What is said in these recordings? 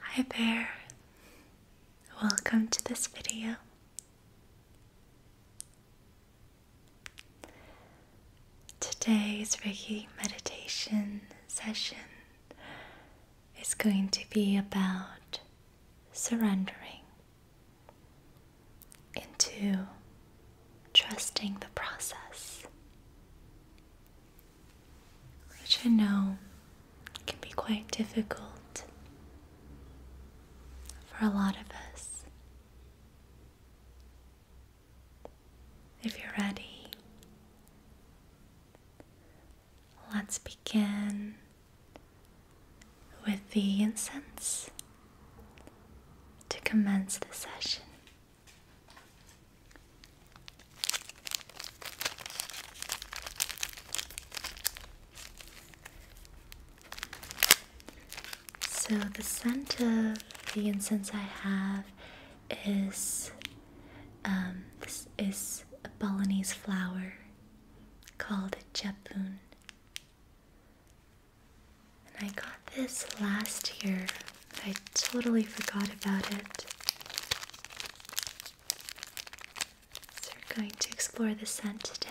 Hi there, welcome to this video. Today's Reiki meditation session is going to be about surrendering into trusting the process which I know can be quite difficult for a lot of us. If you're ready, let's begin with the incense to commence the session. So, the scent of the incense I have is um, this is a Balinese flower called Japun. And I got this last year I totally forgot about it. So we're going to explore the scent today.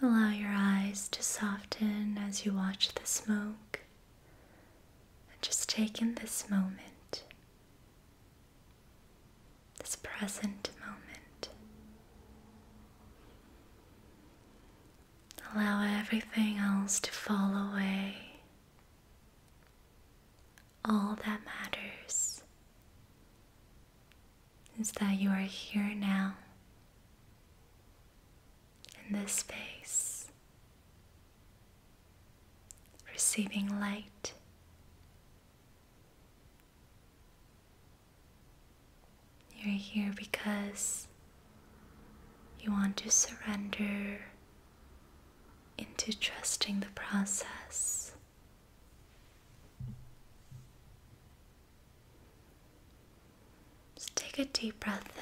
Allow your eyes to soften as you watch the smoke and just take in this moment, this present moment. Allow everything else to fall away. All that matters is that you are here now in this space, receiving light. You're here because you want to surrender into trusting the process. Just take a deep breath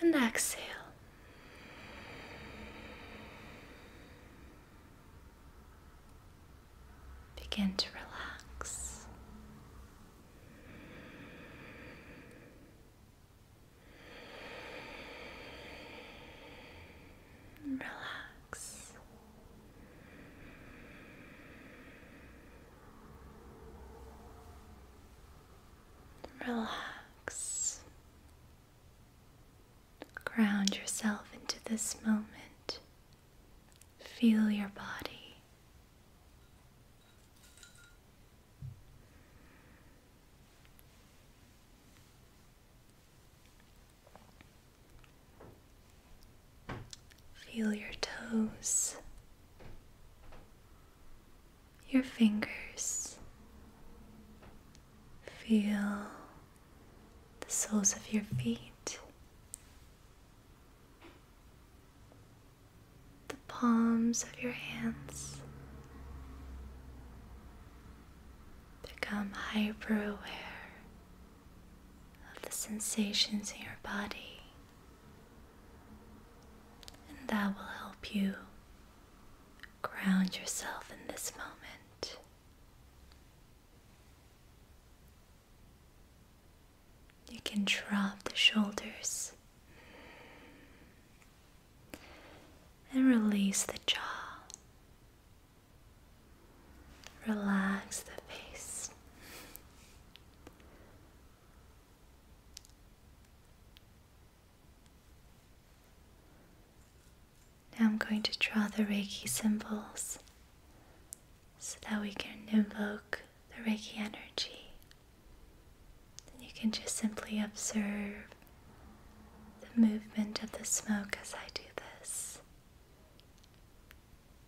in and exhale. Begin to relax. Relax relax. Ground yourself into this moment. Feel your body. Feel your toes, your fingers, feel the soles of your feet, the palms of your hands. Become hyper aware of the sensations in your body, and that will help you ground yourself in this moment. You can drop the shoulders and release the jaw. Relax the face. Now I'm going to draw the Reiki symbols so that we can invoke the Reiki energy. you can just simply observe the movement of the smoke as I do this.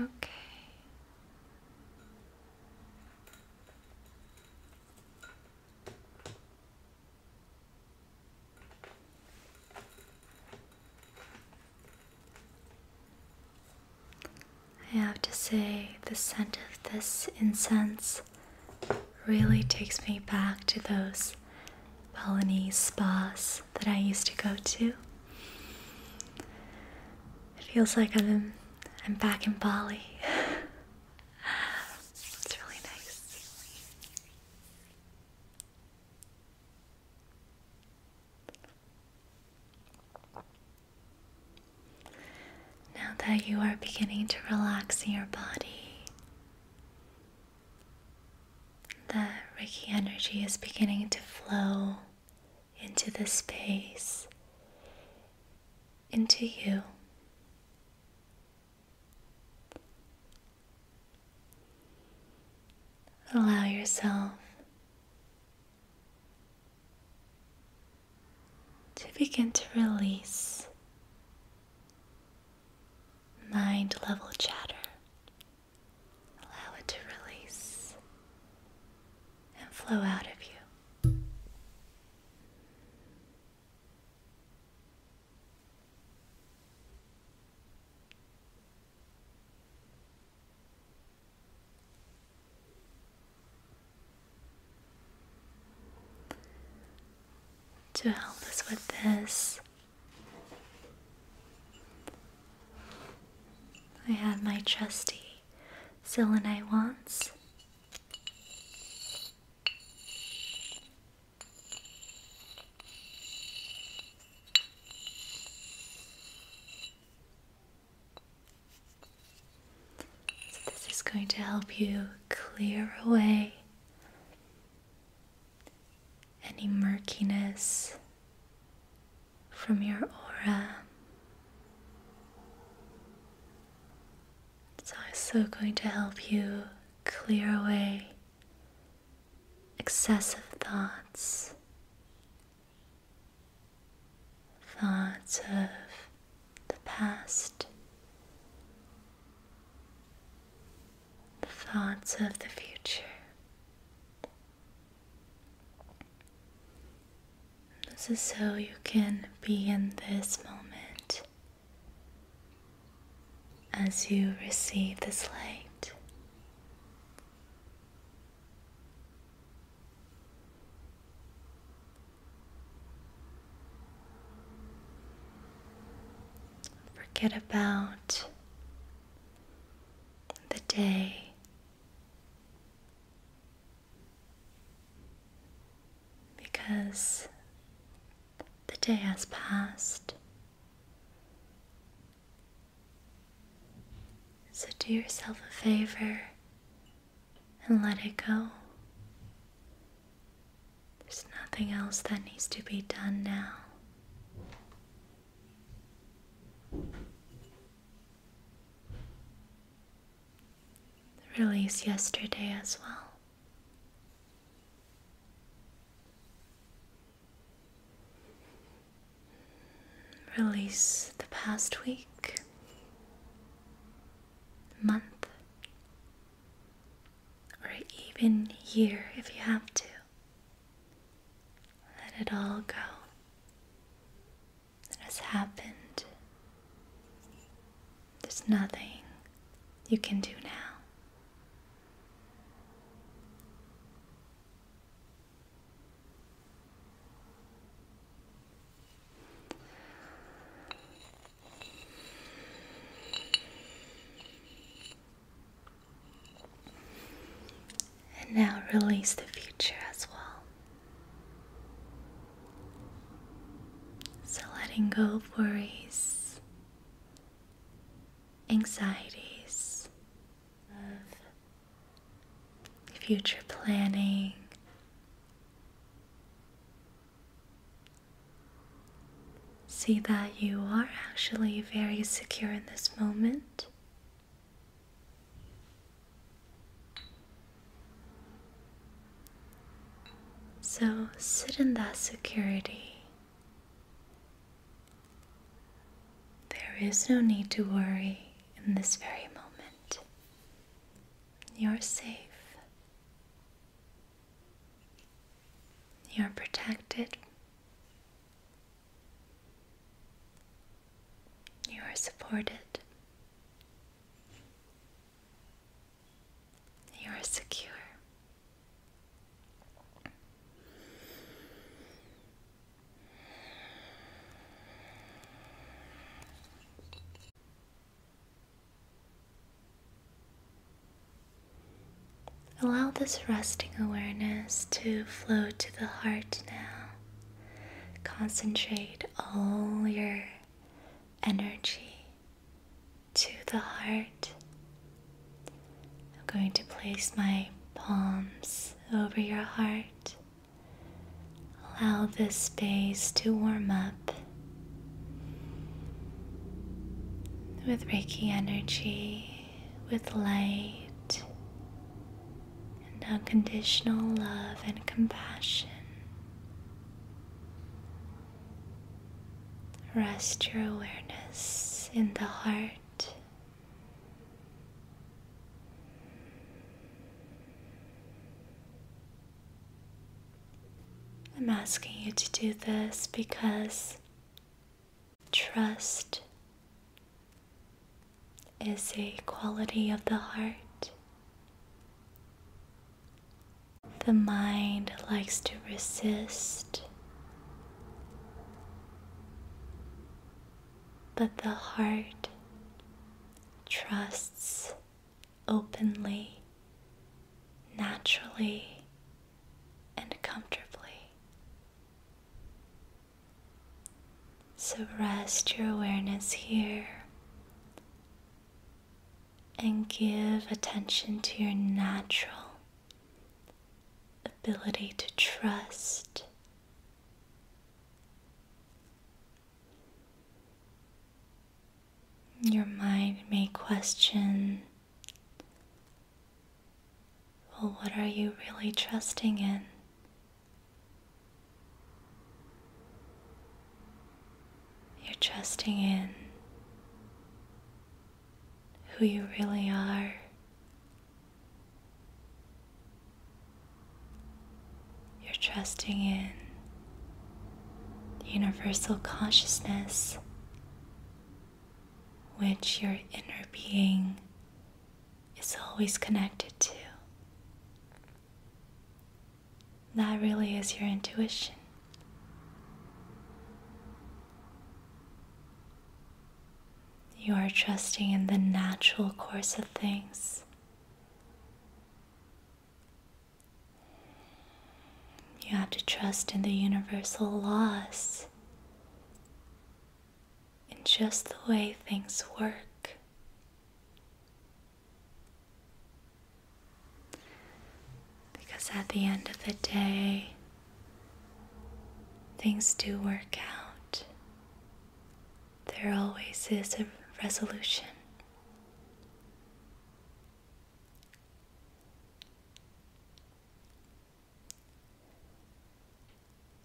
Okay. I have to say, the scent of this incense really takes me back to those Balinese spas that I used to go to. It feels like I'm I'm back in Bali. it's really nice. Now that you are beginning to relax your body, the riki energy is beginning to flow into the space, into you. Allow yourself to begin to release mind level chatter Allow it to release and flow out of you. To help us with this, I have my trusty selenite wands. So, this is going to help you clear away any murkiness from your aura. It's also going to help you clear away excessive thoughts, thoughts of the past, thoughts of the future. This is so you can be in this moment as you receive this light. Forget about the day. Because the day has passed. So do yourself a favor and let it go. There's nothing else that needs to be done now. The release yesterday as well. Release the past week, month, or even year if you have to. Let it all go that has happened. There's nothing you can do now. And now release the future as well. So letting go of worries, anxieties, of future planning. See that you are actually very secure in this moment. So sit in that security. There is no need to worry in this very moment. You're safe. You're protected. You are supported. You are secure. Allow this resting awareness to flow to the heart now. Concentrate all your energy to the heart. I'm going to place my palms over your heart. Allow this space to warm up. With Reiki energy, with light and unconditional love and compassion. Rest your awareness in the heart. I'm asking you to do this because Trust is a quality of the heart. The mind likes to resist, but the heart trusts openly, naturally, and comfortably. So rest your awareness here and give attention to your natural ability to trust. Your mind may question well, what are you really trusting in? You're trusting in who you really are. You're trusting in universal consciousness which your inner being is always connected to. That really is your intuition. You are trusting in the natural course of things. You have to trust in the universal laws in just the way things work. Because at the end of the day, things do work out. There always is a resolution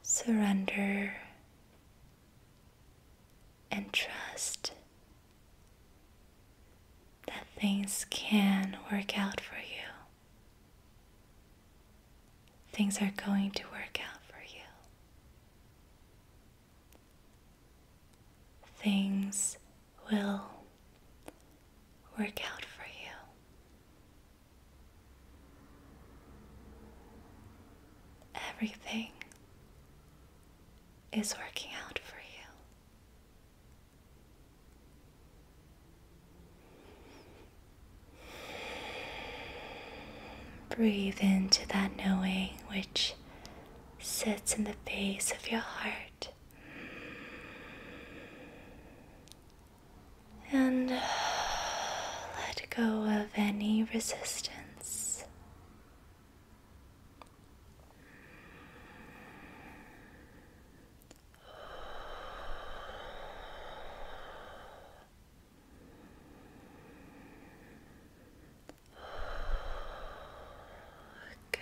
surrender and trust that things can work out for you. Things are going to work out for you. Things will work out for you. Everything is working out for you. Breathe into that knowing which sits in the base of your heart and let go of any resistance. Good.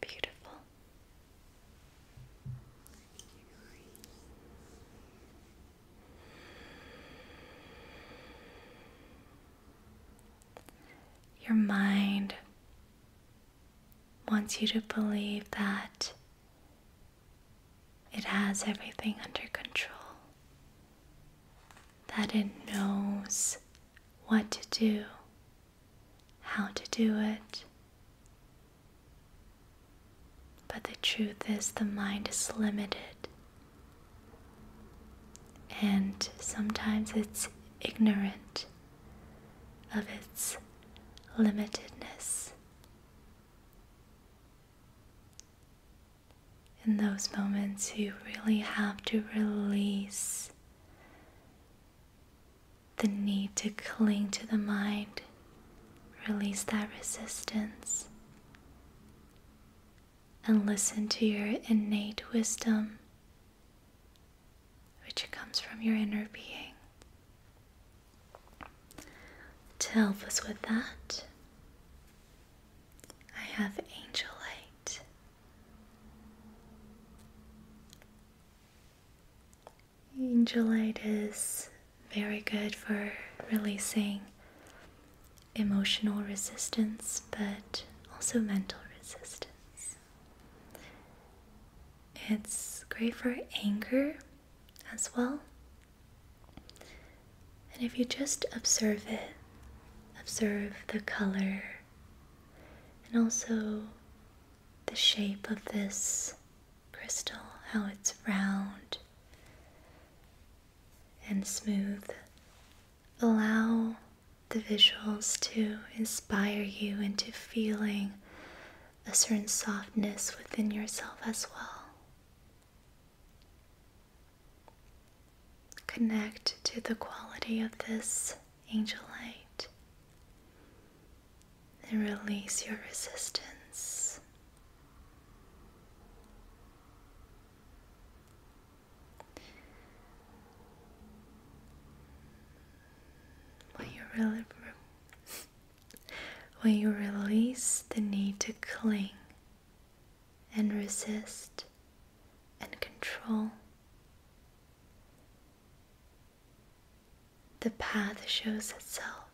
Beautiful. Your mind wants you to believe that it has everything under control, that it knows what to do how to do it. But the truth is, the mind is limited. And sometimes it's ignorant of its limitedness. In those moments, you really have to release the need to cling to the mind, release that resistance, and listen to your innate wisdom, which comes from your inner being. To help us with that, I have angel light. Angelite is very good for releasing emotional resistance but also mental resistance. It's great for anger as well. And if you just observe it, observe the color and also the shape of this crystal, how it's round and smooth. Allow the visuals to inspire you into feeling a certain softness within yourself as well. Connect to the quality of this angel light and release your resistance. When you, re when you release the need to cling and resist and control, the path shows itself.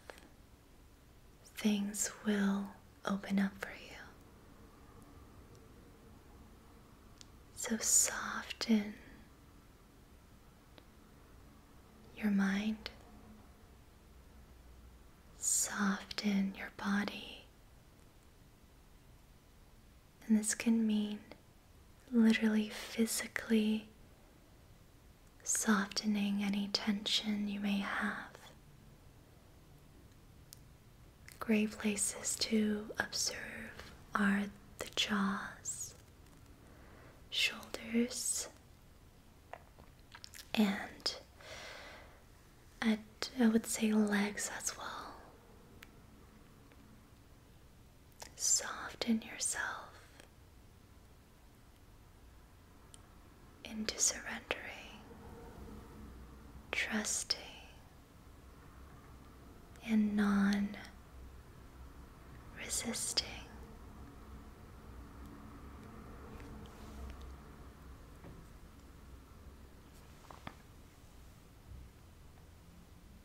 Things will open up for you. So soften your mind, soften your body, and this can mean literally physically softening any tension you may have. Great places to observe are the jaws, shoulders, and at, I would say legs as well. Soften yourself into surrendering, trusting, and non resisting.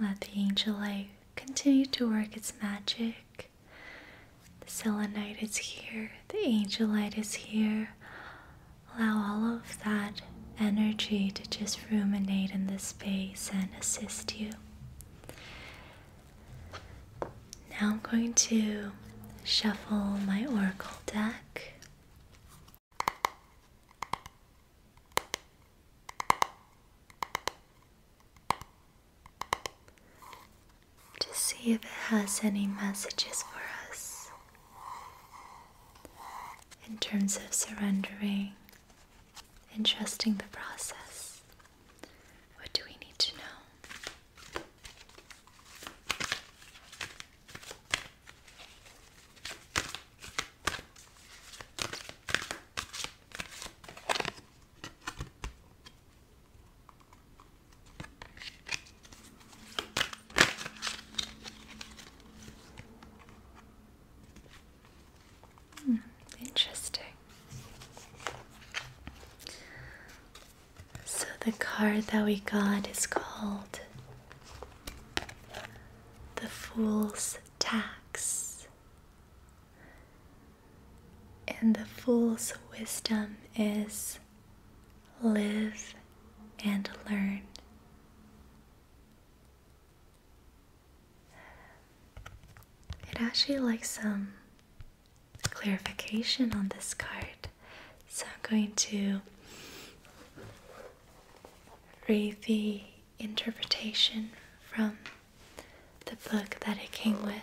Let the angel light continue to work its magic the selenite is here, the angelite is here. Allow all of that energy to just ruminate in the space and assist you. Now I'm going to shuffle my oracle deck to see if it has any messages for us in terms of surrendering and trusting the process. What do we need to know? Hmm, interesting. So the card that we got is called the Fool's Tax. And the fool's wisdom is live and learn. It actually likes some clarification on this card. So I'm going to read the interpretation from the book that it came with.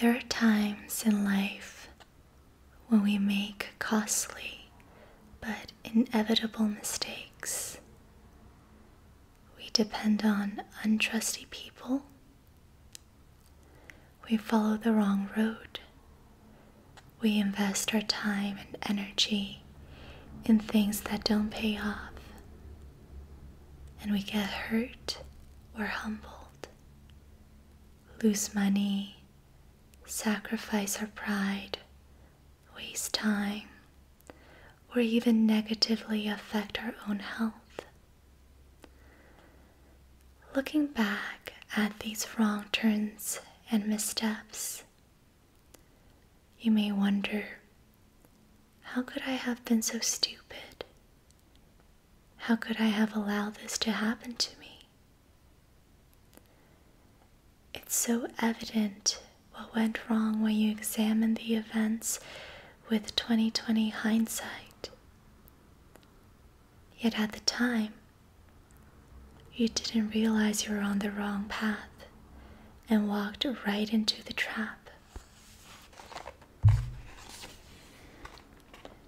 There are times in life when we make costly but inevitable mistakes. We depend on untrusty people. We follow the wrong road. We invest our time and energy in things that don't pay off and we get hurt or humbled, lose money, sacrifice our pride, waste time, or even negatively affect our own health. Looking back at these wrong turns and missteps, you may wonder how could I have been so stupid? How could I have allowed this to happen to me? It's so evident what went wrong when you examine the events with 2020 hindsight. Yet at the time, you didn't realize you were on the wrong path and walked right into the trap.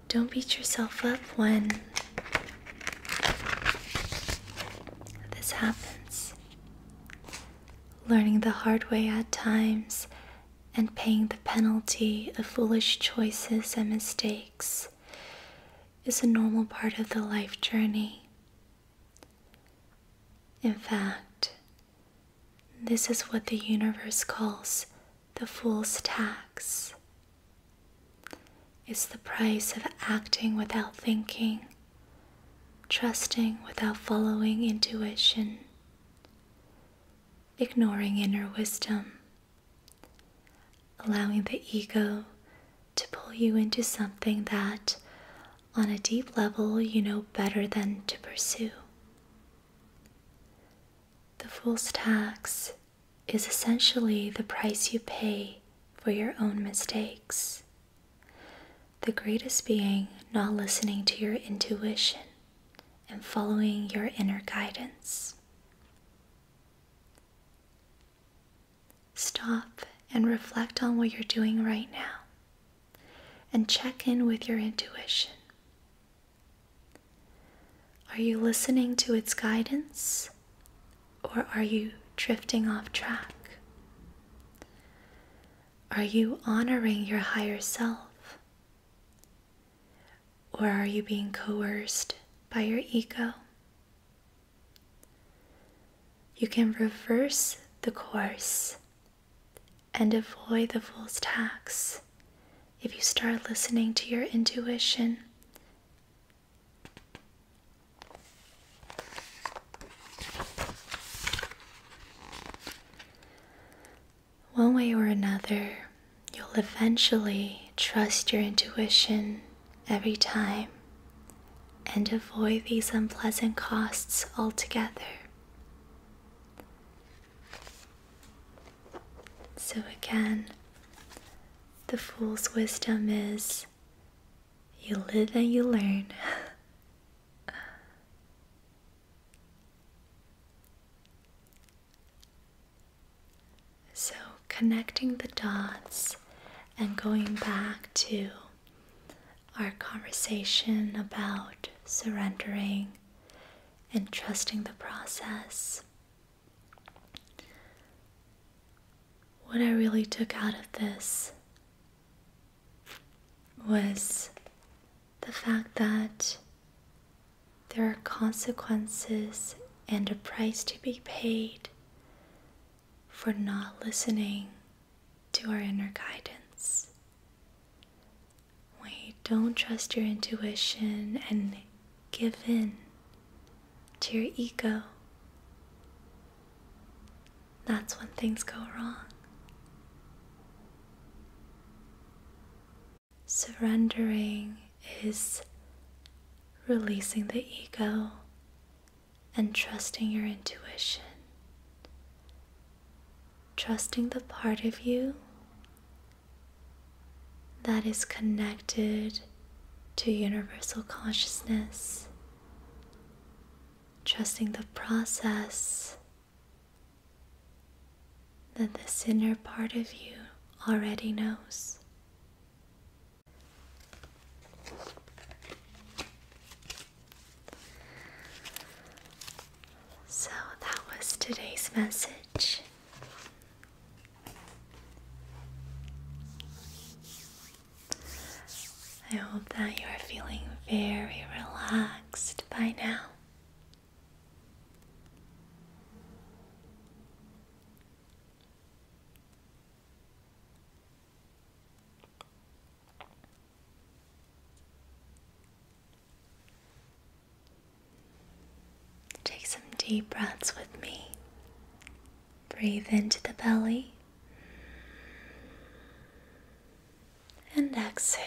Don't beat yourself up when this happens. Learning the hard way at times and paying the penalty of foolish choices and mistakes is a normal part of the life journey. In fact, this is what the universe calls the fool's tax. It's the price of acting without thinking, trusting without following intuition, ignoring inner wisdom, allowing the ego to pull you into something that on a deep level you know better than to pursue. The fool's tax is essentially the price you pay for your own mistakes. The greatest being not listening to your intuition and following your inner guidance. Stop and reflect on what you're doing right now and check in with your intuition. Are you listening to its guidance or are you drifting off track? Are you honoring your higher self or are you being coerced by your ego? You can reverse the course and avoid the fool's tax if you start listening to your intuition. One way or another, you'll eventually trust your intuition every time and avoid these unpleasant costs altogether. So again, the fool's wisdom is you live and you learn. so, connecting the dots and going back to our conversation about surrendering and trusting the process. What I really took out of this was the fact that there are consequences and a price to be paid for not listening to our inner guidance. When don't trust your intuition and give in to your ego, that's when things go wrong. Surrendering is releasing the ego and trusting your intuition trusting the part of you that is connected to universal consciousness, trusting the process that this inner part of you already knows. So that was today's message. I hope that you are feeling very relaxed by now. Take some deep breaths with me. Breathe into the belly and exhale.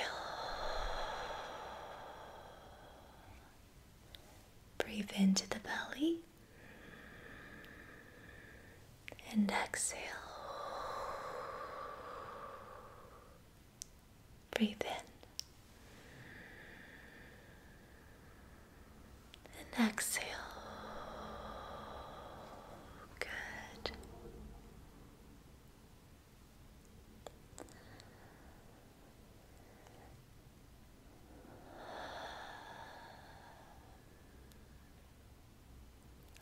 Breathe into the belly and exhale. Breathe in and exhale. Good.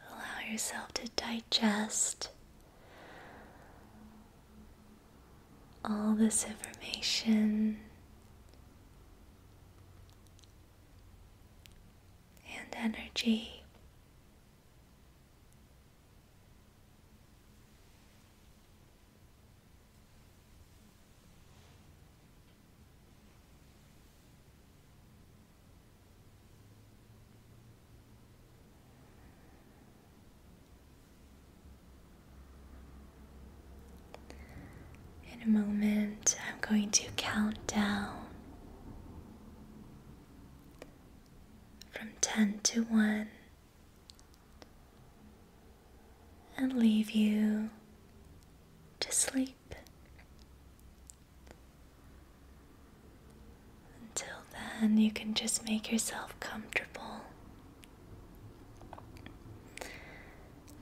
Allow yourself to digest all this information and energy. In a moment, I'm going to count down from 10 to 1 and leave you to sleep. Until then, you can just make yourself comfortable.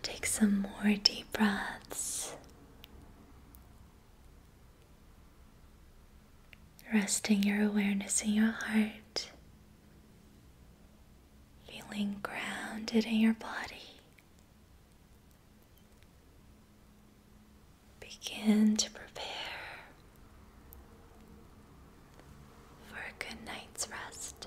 Take some more deep breaths. Resting your awareness in your heart, feeling grounded in your body, Begin to prepare for a good night's rest.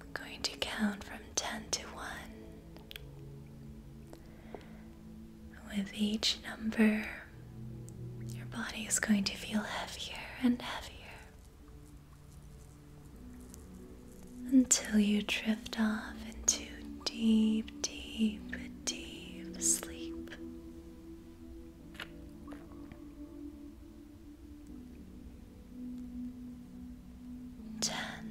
I'm going to count from 10 to 1. With each number, your body is going to feel heavier and heavier until you drift off into deep, deep, deep sleep. Ten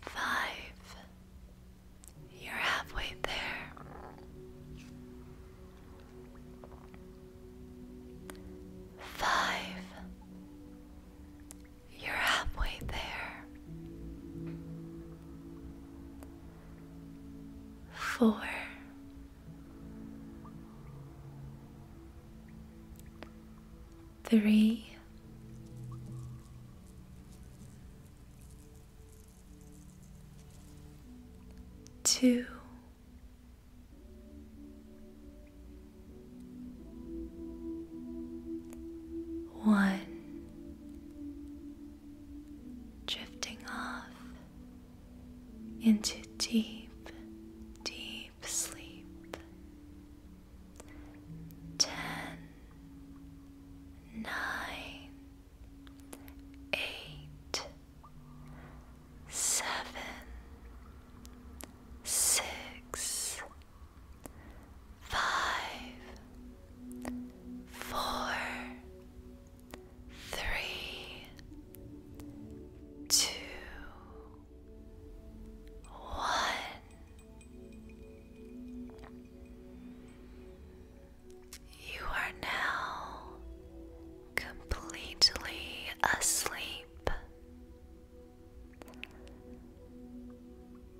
Five. You're halfway there. Five. You're halfway there. Four three, two, one, drifting off into deep, deep sleep. Ten, nine, eight, seven, six, five, four, three, two, one. You are now completely asleep,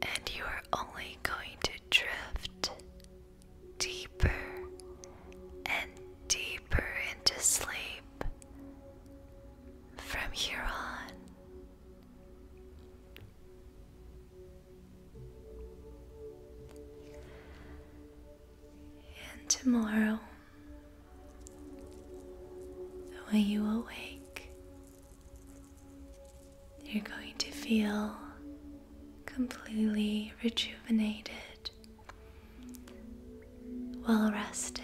and you are only going to drift deeper and deeper into sleep from here on. And tomorrow, when you awake, you're going to feel completely rejuvenated well rested,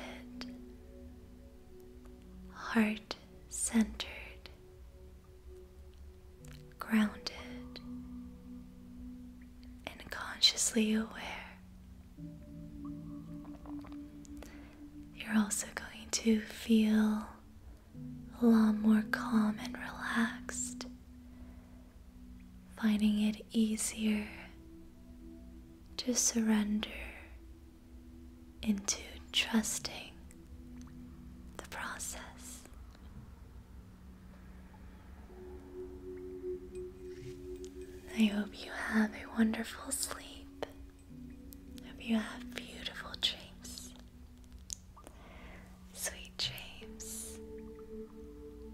heart centered, grounded, and consciously aware. You're also going to feel a lot more calm and relaxed finding it easier to surrender into trusting the process. I hope you have a wonderful sleep. Hope you have beautiful dreams. Sweet dreams